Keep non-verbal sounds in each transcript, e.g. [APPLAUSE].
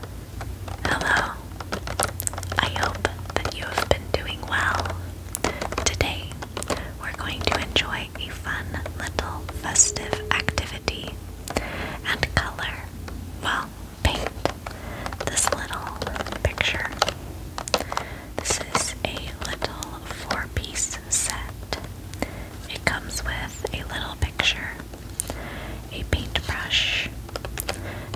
Hello. I hope that you have been doing well. Today, we're going to enjoy a fun little festive activity and color, well, paint this little picture. This is a little four piece set. It comes with a little picture a paintbrush,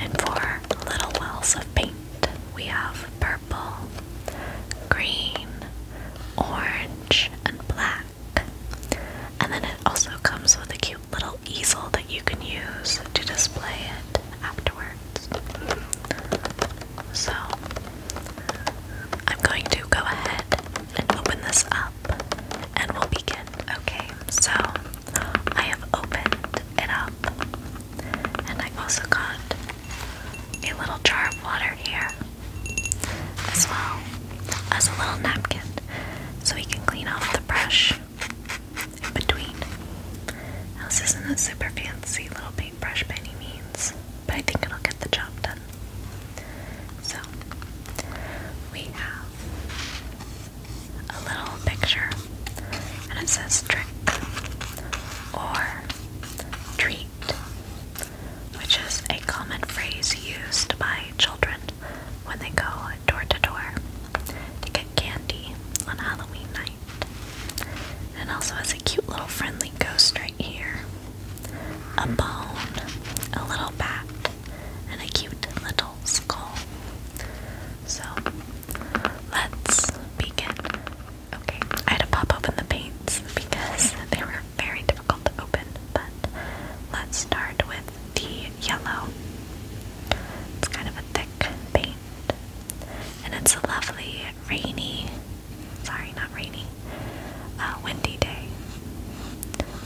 and for little wells of paint. We have purple, green, orange, and black. And then it also comes with a cute little easel that you can use to display it afterwards. So I'm going to go ahead and open this up and we'll begin. Okay, so I have opened it up and I also got a little jar of water here as well as a little napkin so we can clean off the brush in between. Now, this isn't a super fancy little paintbrush by any means, but I think it'll get the job done. So, we have a little picture and it says trick or treat, which is a common phrase used by children when they go door to door to get candy on Halloween night. And also has a cute little friendly ghost right here. A bone, a little bat, and a cute little skull. So let's begin. Okay, I had to pop open the paints because they were very difficult to open, but let's start with the yellow. It's kind of a thick paint. And it's a lovely rainy, sorry, not rainy, uh, windy day.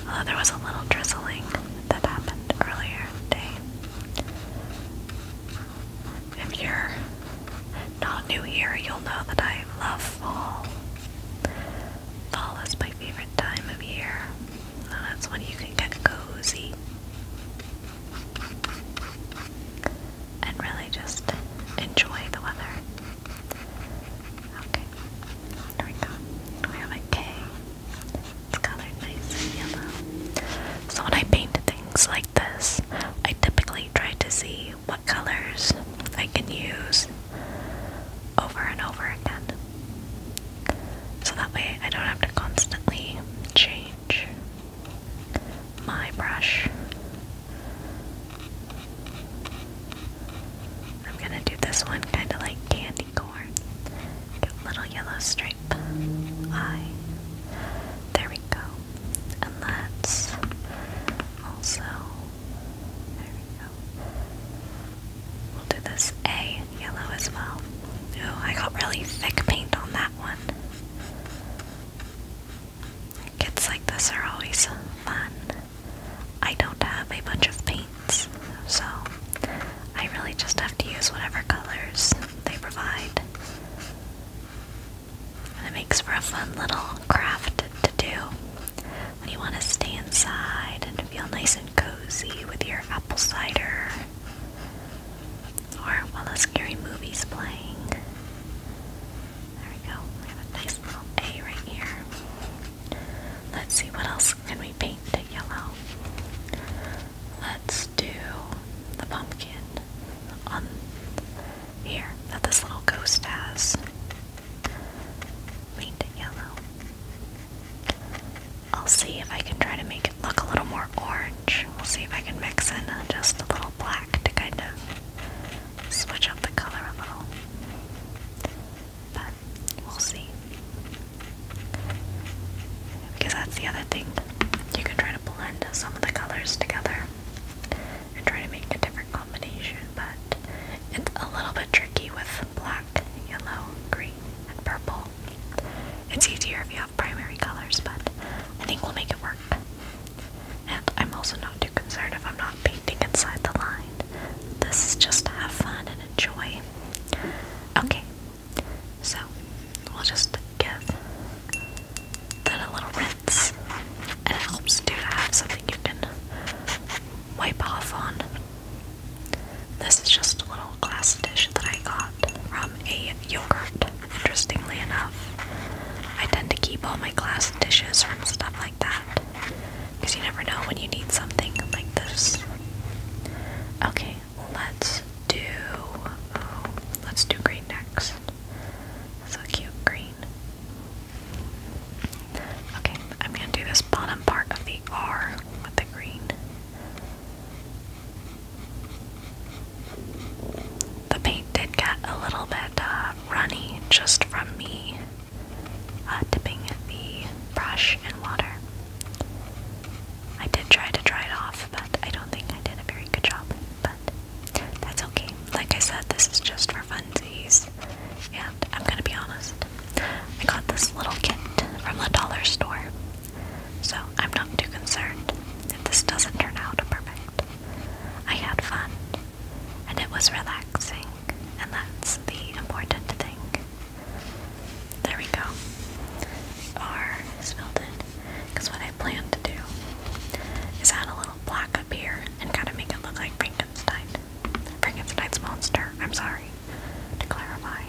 Although there was a little drizzling that happened earlier day, If you're not new here, you'll know that I love fall. Fall is my favorite time of year. that's when you can get cozy. And really just enjoy the weather. Okay, there we go. We have a K it's colored nice yellow. So when I paint things like this, I typically try to see what colors I can use over and over again. So that way I don't have to constantly change my brush. I'm gonna do this one kind of like candy acorn, little yellow stripe, eye. There we go. And let's also, there we go. We'll do this A yellow as well. Oh, I got really thick paint on that one. Kids like this are always fun. I don't have a bunch of paint so I really just have to use whatever colors they provide. And it makes for a fun little craft to do when you want to stay inside and feel nice and cozy with your apple cider or while the scary movie's playing. There we go. We have a nice little A right here. Let's see what else can we paint faint yellow. Let's do the pumpkin on here that this little ghost has. Faint yellow. I'll see if I can try to make it look a little more orange. We'll see if I can mix in just a little black to kind of switch up the color a little. We'll see. Because that's the other thing. You can try to blend some of the colors together and try to make a different combination, but it's a little bit tricky with black, yellow, green, and purple. It's easier if you have primary colors, but I think we'll make it work. And I'm also not too concerned if I'm not painting inside the line. This is just to have fun and enjoy. Okay, so we'll just give that a little rinse, and it helps too to have something you can wipe off on. This is just a little glass dish that I got from a yogurt. Interestingly enough, I tend to keep all my glass dishes from stuff like that because you never know when you need something like this. Okay, let's do oh, let's do green next. so cute, green. Okay, I'm gonna do this bottom part of the R with the green. The paint did get a little bit uh, runny just from me uh, dipping the brush in water. I did try to dry it off, but I don't think I did a very good job. But that's okay. Like I said, this is just for funsies. And I'm gonna be honest, I got this little kit from the dollar store. So I'm not too concerned if this doesn't turn out perfect. I had fun, and it was relaxing, and that's the important thing. There we go. R is filled in. Because what I plan to do is add a little black up here and kind of make it look like Frankenstein. Frankenstein's monster. I'm sorry. To clarify.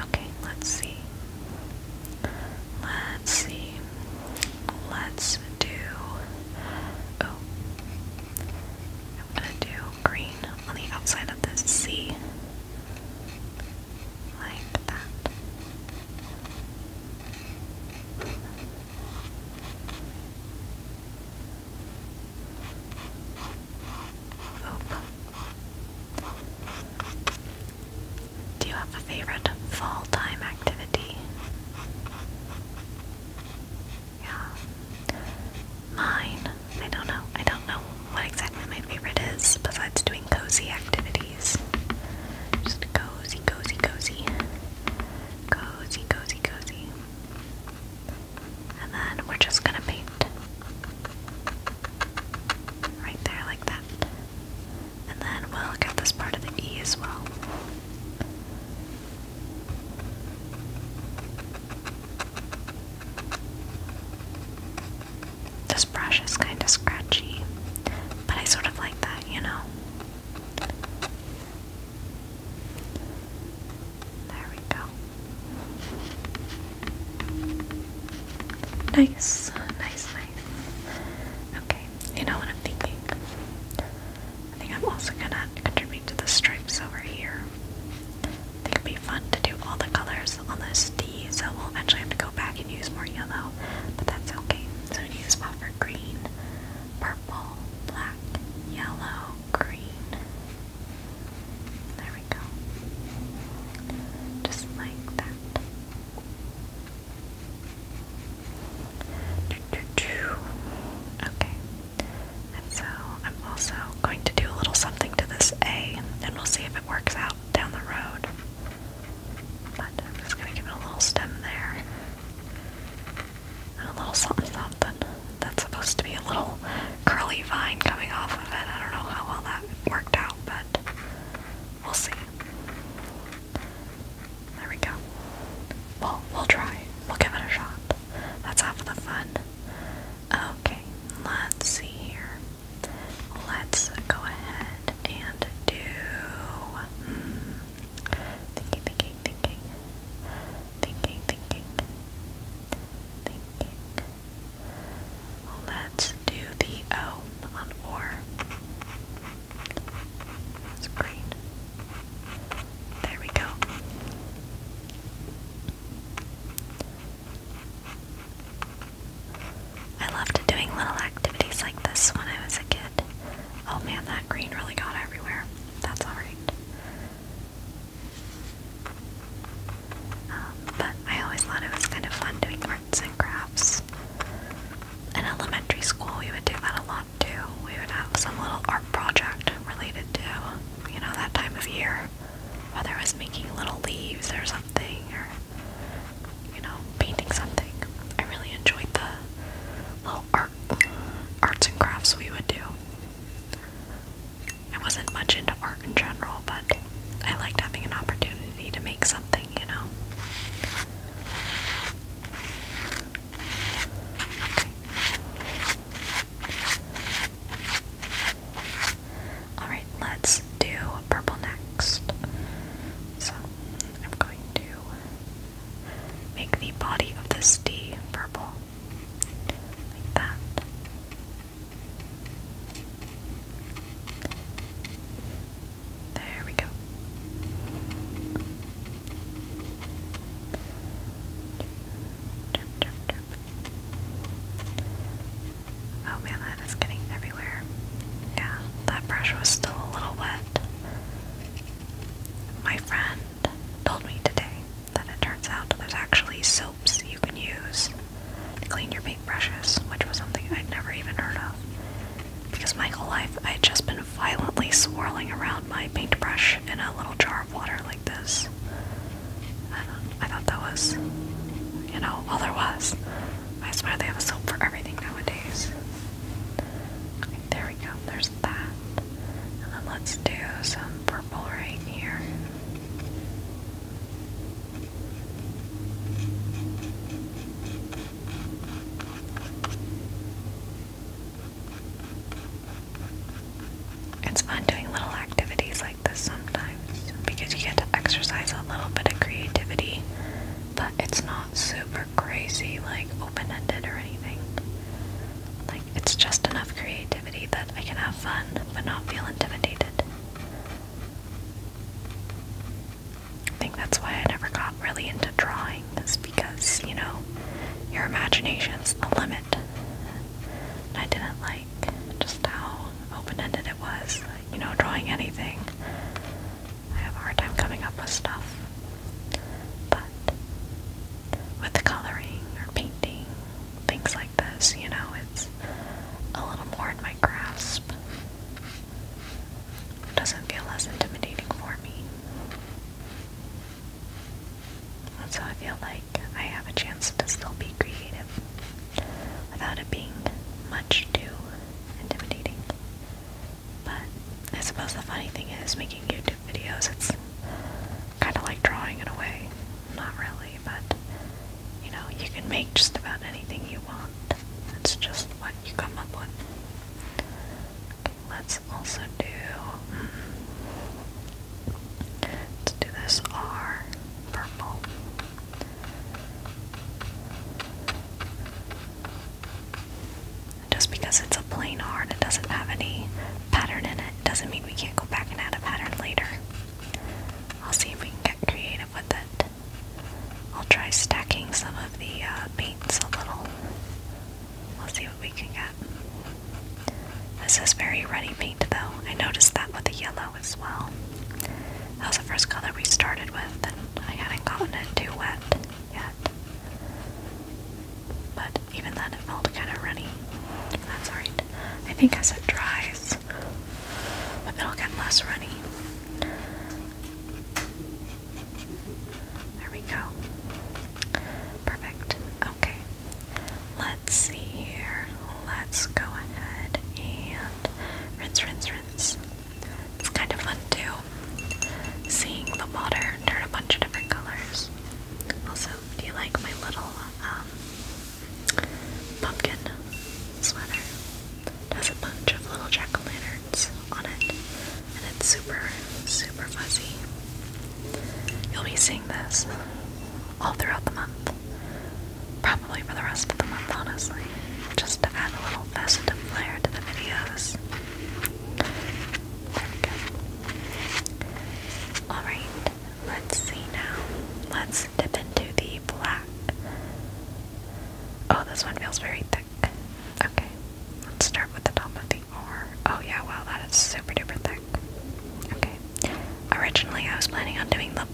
Okay, let's see. Let's see. Let's do. Oh. I'm gonna do green on the outside of this C like that. Oop. Do you have a favorite fall time activity? Yeah mine. I don't know. I don't know what exactly my favorite is besides doing cozy activities. Just cozy, cozy, cozy. Cozy, cozy, cozy. And then we're just gonna paint. Right there, like that. And then we'll look this part of the E as well. This brush is kind of scratchy, but I sort of like that, you know? There we go. Nice, nice, nice. Okay, you know what I'm thinking? I think I'm also gonna contribute to the stripes over here. It'd be fun to do all the colors on this D, so we'll eventually have to go back and use more yellow, but that's okay. So we need a spot for green, purple, black, yellow, green. There we go. Just like that. Okay. And so I'm also going to do a little something to this A, and we'll see if it works out down the road. But I'm just going to give it a little stem there. And a little something something. That's supposed to be a little curly vine coming off of it. I don't know how well that worked out, but we'll see. There we go. Well, we'll try. We'll give it a shot. That's half of the fun. Okay, let's see here. Let's go ahead and do. Hmm, thinking, thinking, thinking. Thinking, thinking. Thinking. Let's do the O on or. It's green. There we go. I loved doing little activities like this when I was a kid. Oh man, that green really got everywhere. That's alright. Um, but I always thought it was kind of fun doing arts and crafts. In elementary school, we would do that a lot too. We would have some little art project related to, you know, that time of year whether it was making little leaves or something, or you know, painting something. I really enjoyed the little art arts and crafts we would do. I wasn't much into art in general, but I liked having an opportunity to make something, you know. Alright, let's do purple next. So, I'm going to make the body of this D purple. Like that. There we go. Oh man, that is getting everywhere. Yeah, that brush was still a little wet. My friend told me today that it turns out there's actually soaps you can use to clean your paintbrushes, which was something I'd never even heard of. Because my whole life I would just been violently swirling around my paintbrush in a little jar of water like this. I thought that was, you know, all there was. I swear they have a soap for everything nowadays. there we go, there's that. And then let's do some purple right here. It's fun doing little activities like like sometimes because you get to exercise a little bit of creativity, but it's not super crazy, like open ended or anything. Like, it's just enough creativity that I can have fun but not feel intimidated. I think that's why I never got really into drawing, is because, you know, your imagination's a limit. And I didn't like just how open-ended it was, you know, drawing anything. I have a hard time coming up with stuff. But with the coloring or painting, things like this, you know, it's a little more in my grasp. It doesn't feel less intimidating for me. That's how I feel like I have a chance to still be creative without it being much too intimidating. But I suppose the funny thing is making YouTube videos, it's kind of like drawing in a way. Not really, but you know, you can make just about anything you want. It's just what you come up with. let's also do. Hmm, let's do this R purple. Just because it's a plain R and it doesn't have any pattern in it doesn't mean we can't go back and add a pattern later. I'll see if we can get creative with it. I'll try stacking some of the uh, paints a little. We'll see what we can get. This is very ready paint though. I noticed that with the yellow as well. That was the first color we started with, and I hadn't gotten it too wet yet. But even then, it felt kind of runny. That's alright. I think as it dries, it'll get less runny. There we go. Perfect. Okay. Let's see here. Let's go ahead and rinse, rinse, rinse. It's kind of fun too, seeing the water turn a bunch of different colors. Also, do you like my little um, pumpkin sweater? It has a bunch of little jack-o'-lanterns on it, and it's super, super fuzzy. You'll be seeing this all throughout the month. Probably for the rest of the month, honestly, just to add a little festive flair to the videos. There we go. Alright, let's see now. Let's dip into the black. Oh, this one feels very thick. Okay, let's start with the top of the R. Oh, yeah, wow, that is super duper thick. Okay. Originally, I was planning on doing the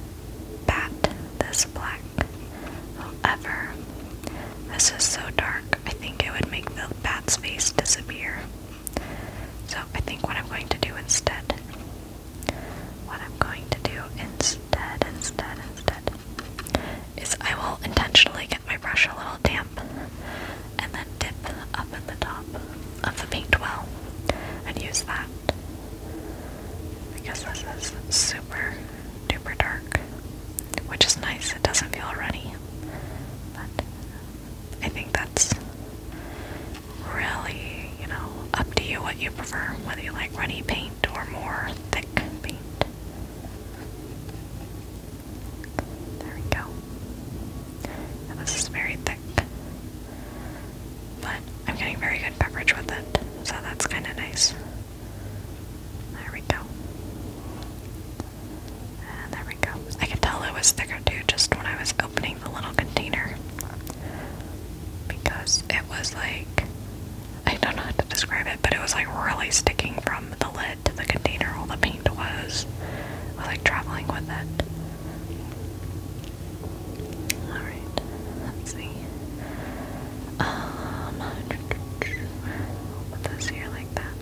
bat this black. However, this is so dark, I think it would make the bat's face disappear. So, I think what I'm going to do instead, what I'm going to do instead, instead, instead, is I will intentionally get my brush a little damp and then dip up at the top of the paint well and use that. Because this is super duper dark, which is nice, it doesn't feel runny. But I think that's really, you know, up to you what you prefer, whether you like runny paint or more thick paint. There we go. this is very thick but I'm getting very good coverage with it, so that's kind of nice. There we go. there we go. I could tell it was thicker too just when I was opening the little container because it was like I don't know how to describe it, but it was like really sticking from the lid to the container. All the paint was like traveling with it. Alright, let's see. Um, put this here like that.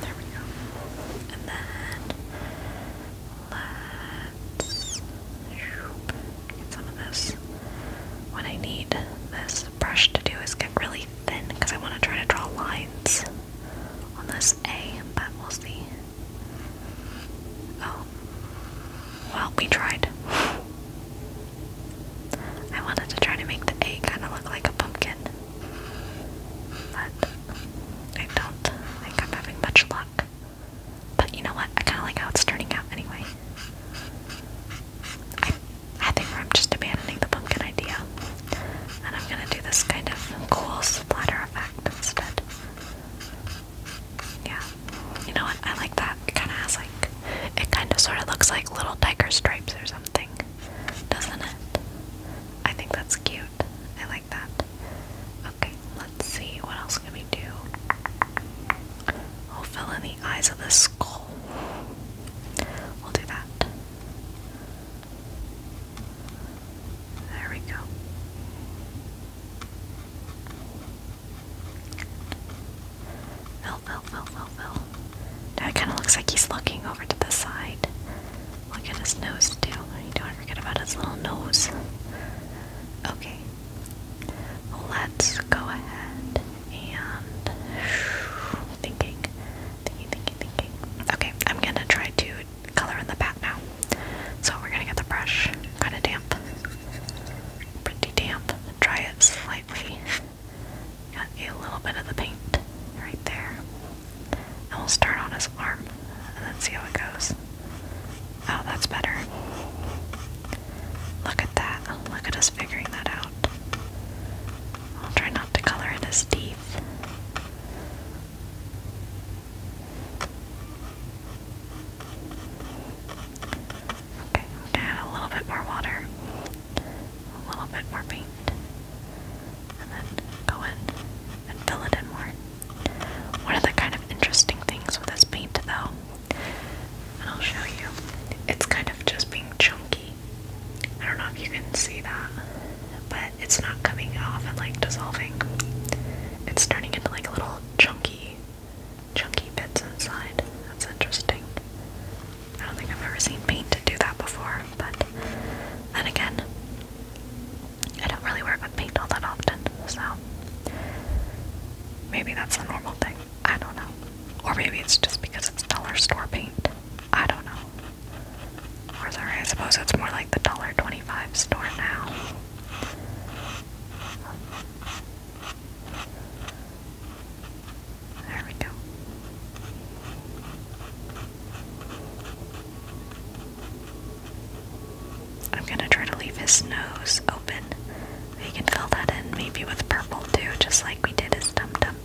There we go. And then let's some of this. What I need this brush to do is get really thin because I want to try to draw lines on this A, but we'll see. Oh. Well, we tried. I wanted to try to make the A kind of look like a pumpkin. But I don't think I'm having much luck. But you know what? I kind of like how it's turning out anyway. I, think I'm just abandoning the pumpkin idea. And I'm gonna do this kind of cool splatter effect instead. Yeah. You know what? I like that. It kind of has like. It kind of sort of looks like little tiger stripes or something. Doesn't it? I think that's cute. I like that. Okay, let's see. What else can we do? I'll oh, fill in the eyes of the skull. We'll do that. There we go. Fill, fill, fill, fill, fill. Now kind of looks like he's looking over to the side. Look at his nose, too. don't forget about his little nose. Okay, Let's go ahead and thinking, thinking, thinking, thinking. Okay, I'm gonna try to color in the back now. So we're gonna get the brush kind of damp, pretty damp. Dry it slightly. Got a little bit of the paint right there, and we'll start on his arm and then see how it goes. Oh, that's better. Look at that. Look at us figuring that out. I'll try not to color in his teeth. Okay, I'm add a little bit more water, a little bit more paint, and then go in and fill it in more. One of the kind of interesting things with this paint, though, I'll show you. It's kind of just being chunky. I don't know if you can see that, but it's not coming off and like dissolving. It's turning into like a little chunky, chunky bits inside. That's interesting. I don't think I've ever seen paint do that before, but then again, I don't really work with paint all that often, so Maybe that's a normal thing. I don't know. Or maybe it's just because it's dollar store paint. I don't know. Or sorry, I suppose it's more like the dollar twenty-five store now. There we go. I'm gonna try to leave his nose open. We can fill that in maybe with purple too, just like we did his dum dum.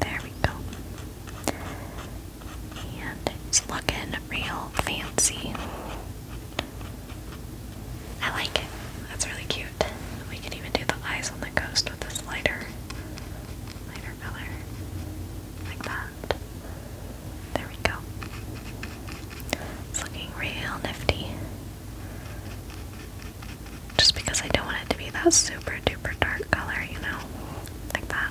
There we go. And it's looking real fancy. I like it. That's really cute. We can even do the eyes on the coast with this lighter, lighter color, like that. There we go. It's looking real nifty. Just because I don't want it to be that super duper dark color, you know, like that.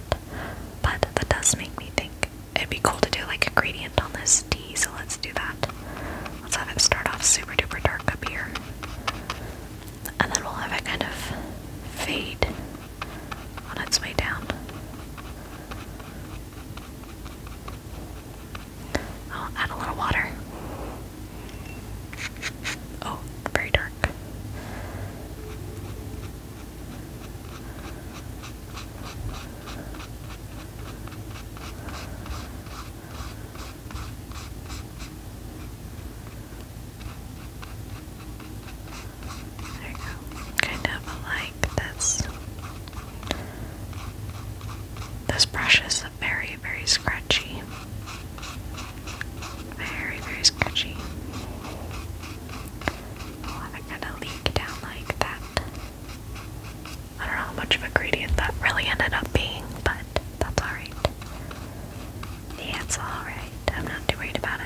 But that does make me think it'd be cool to do like a gradient on this T. so let's do that. Let's have it start off super duper dark up here. And then we'll have it kind of fade on its way down. I'll add a little water. Oh, very dark. There you go. Kind of like this. This brush is very, very scratchy. Very, very scratchy. kind of leak down like that. I don't know how much of a gradient that really ended up being, but that's alright. Yeah, it's alright. I'm not too worried about it.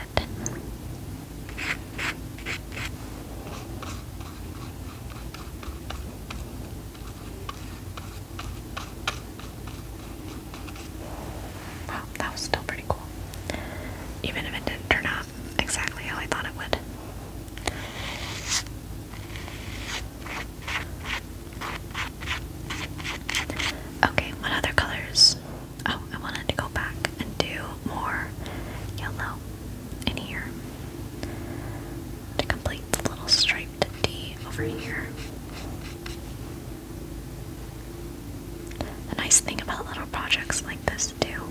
Wow, that was still pretty cool. Even if it didn't turn out exactly how I thought it would. Okay, what other colors? Oh, I wanted to go back and do more yellow in here to complete the little striped D over here. The nice thing about little projects like this too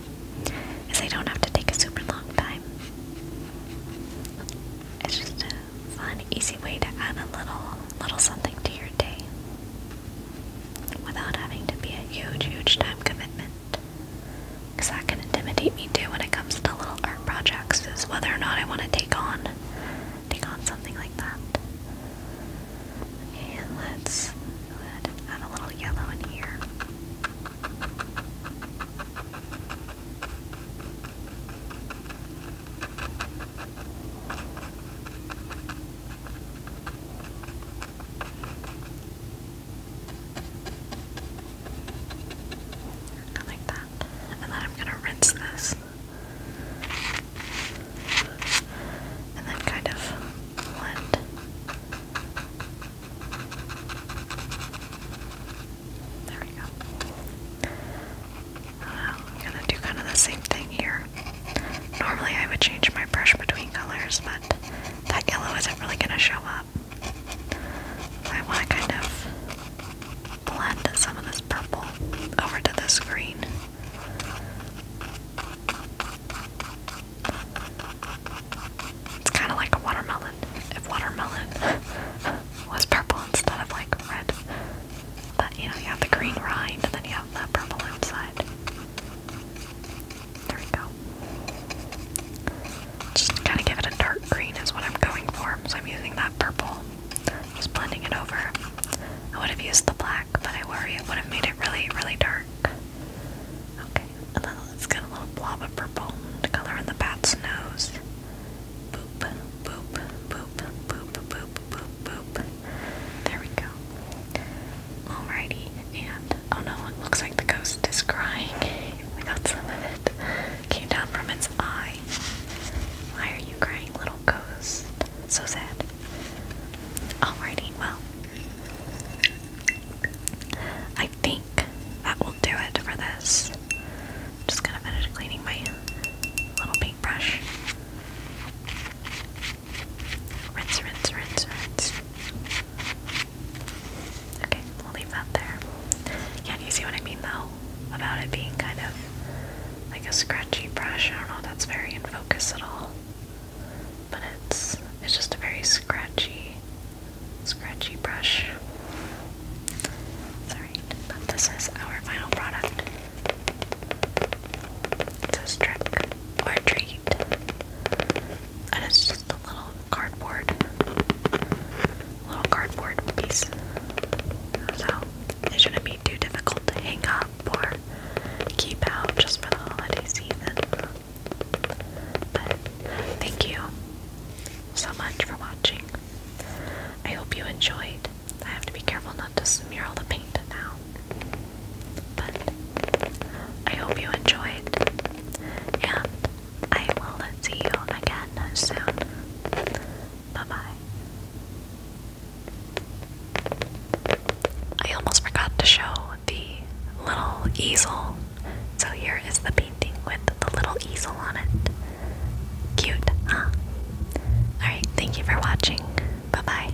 is they don't have to take a super long time. It's just a fun, easy way to add a little little something to your day without having to be a huge, huge time commitment. Because that can intimidate me too when it comes to little art projects, is whether or not I want to take on take on something like that. And let's add a little yellow in here. I like that. And then I'm gonna rinse this. And then kind of blend. There we go. Uh, I'm gonna do kind of the same thing here. Normally I would change my brush between colors, but that yellow isn't really going to show up. I want to kind of blend some of this purple over to this green. It's kind of like a watermelon. If watermelon [LAUGHS] was purple instead of like red. But you know, you have the green rind and then you have the purple outside. There we go. Just kind of give a dark green is what I'm going for, so I'm using that purple. Just blending it over. I would have used the black, but I worry it would have made it really, really dark. Okay, and then let's get a little blob of purple to color in the bat's nose. boop, boop, boop, boop, boop, boop, boop. There we go. Alrighty, and oh no, it looks like the ghost is crying. we got some of it. Came down from its eye. Why are you crying, little ghost? So sad. Alrighty, well, I think that will do it for this. I'm just gonna finish cleaning my little paintbrush. Rinse, rinse, rinse, rinse. Okay, we'll leave that there. Yeah, you see what I mean though? About it being kind of like a scratchy brush. I don't know that's very in focus at all. But it's it's just a very scratchy scratchy brush. It's but this is our final product. It's a trick or treat. And it's just a little cardboard, little cardboard piece. So it shouldn't be too difficult to hang up or keep out just for the holiday season. But thank you so much for watching. I hope you enjoyed. I have to be careful not to smear all the paint now. But I hope you enjoyed and I will see you again soon. Bye bye. I almost forgot to show the little easel. So here is the painting with the little easel on it. Cute, huh? Alright, thank you for watching. Bye bye.